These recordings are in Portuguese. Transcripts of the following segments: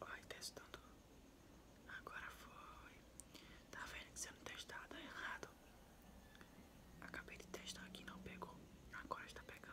Ai, testando. Agora foi. Tá vendo que você não testar, tá errado. Acabei de testar aqui, não pegou. Agora está pegando.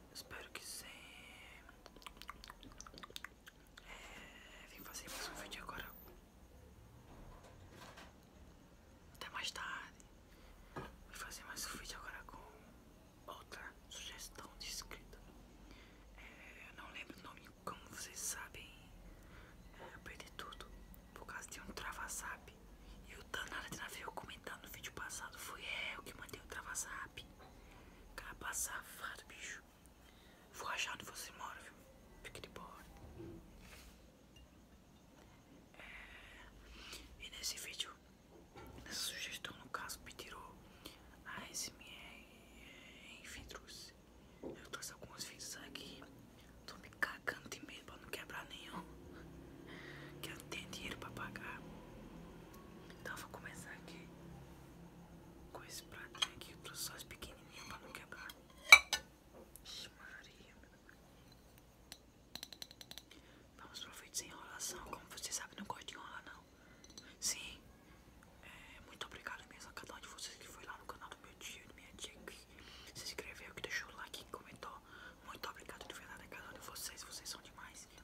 Espero que sim. É, vim fazer mais um vídeo agora. Até mais tarde. Vim fazer mais um vídeo agora com outra sugestão de inscrito. É, não lembro o nome, como vocês sabem. É, eu perdi tudo por causa de um travasap. E o danado de navio comentando no vídeo passado foi eu que mandei o travasap. Capa safado, bicho. Vou achar onde você mora, viu? Fique de boa. É... E nesse vídeo, nessa sugestão, no caso, me tirou a SMR em vidros. Eu trouxe alguns vídeos aqui. Tô me cagando de medo pra não quebrar nenhum. Que ter dinheiro pra pagar. Então eu vou começar aqui com esse pratinho aqui para os sóis pequenininho para não quebrar. Ixi, Maria. Vamos pro vídeo sem enrolação. Como vocês sabem, não gosto de enrolar não. Sim. É, muito obrigado mesmo a cada um de vocês que foi lá no canal do meu tio e da minha tia que se inscreveu, que deixou o like e comentou. Muito obrigado de verdade a cada um de vocês. Vocês são demais.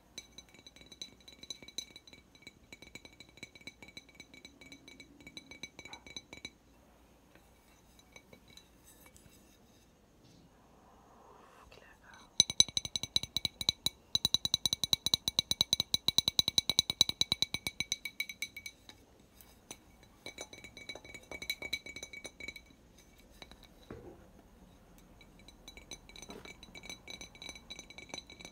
que legal.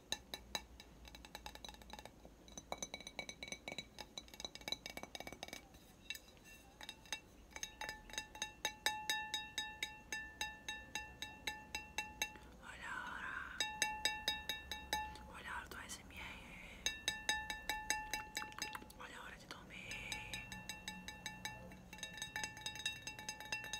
Olha a hora. Olha a hora do SMR. Olha a hora de dormir.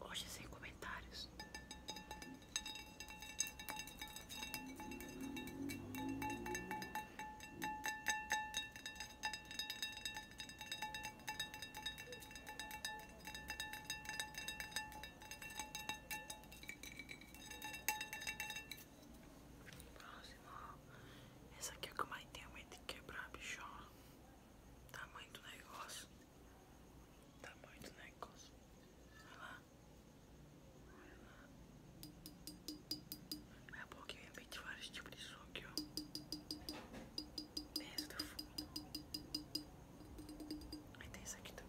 Hoje sem comentários. Próximo. Essa aqui é que eu mais tenho medo de quebrar, bicho. Tamanho do negócio. Tamanho do negócio. olha lá. olha lá. É porque eu inventei vários tipos de som aqui, ó. Tem essa do fundo. Aí tem essa aqui também.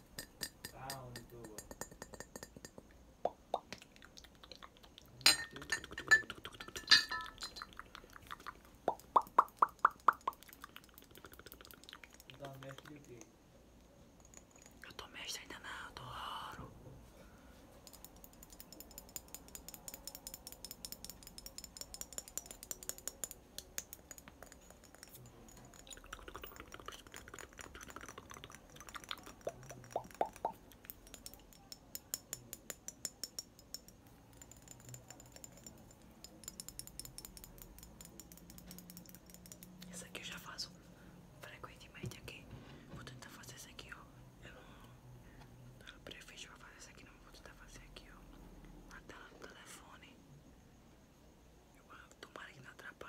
Eu tô mestre ainda não, eu tô ouro. Esse aqui eu já faço frequentemente aqui. Vou tentar fazer esse aqui, ó. Eu não prefiro fazer esse aqui, não. Vou tentar fazer aqui, ó. Na tela do telefone. Eu amo, tomara que não atrapalhe.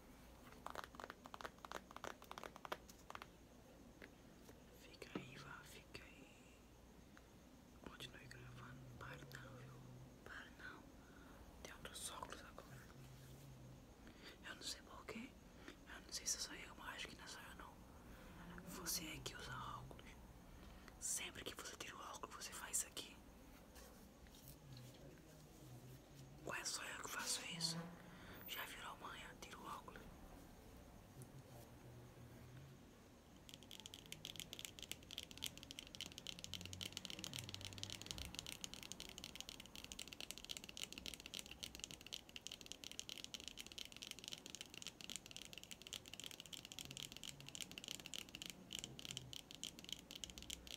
Fica aí, vá, fica aí. Continue gravando. para não, viu? para não. Tem outros óculos agora. Eu não sei porquê. Eu não sei se sou eu, mas acho que não sou eu não. Você é que usa óculos. Sempre que você tira o óculos, você faz isso aqui. Qual é só eu que faço isso? Já virou manhã, tira o óculos.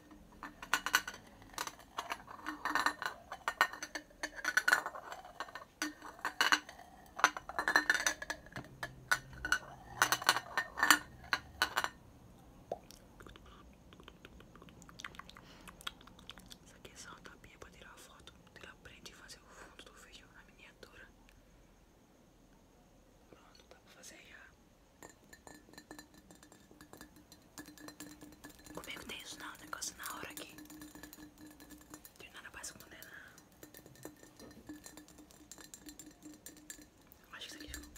Isso aqui é só uma tapinha pra tirar a foto Tirar print e fazer o fundo do vídeo na miniatura Pronto, dá pra fazer já Comigo é tem isso não, negócio na hora aqui. tem nada pra esconder não. Né? Acho que isso aqui ficou.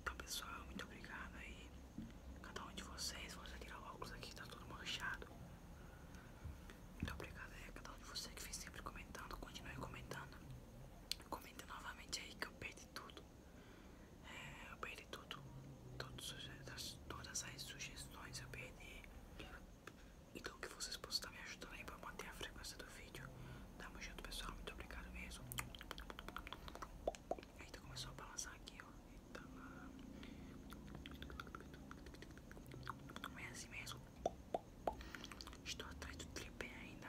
Então pessoal, muito obrigado aí Cada um de vocês, vou tirar o óculos aqui, tá todo manchado Muito obrigado aí a cada um de vocês que vem sempre comentando Continue comentando Comenta novamente aí que eu perdi tudo é, eu perdi tudo. Todas, as sugestões eu perdi. Então que vocês possam tá estar me ajudando aí pra manter a frequência do vídeo. Tamo junto, pessoal. Muito obrigado mesmo. aí começou a balançar aqui, ó. Eita. Não é assim mesmo. Estou atrás do tripé ainda.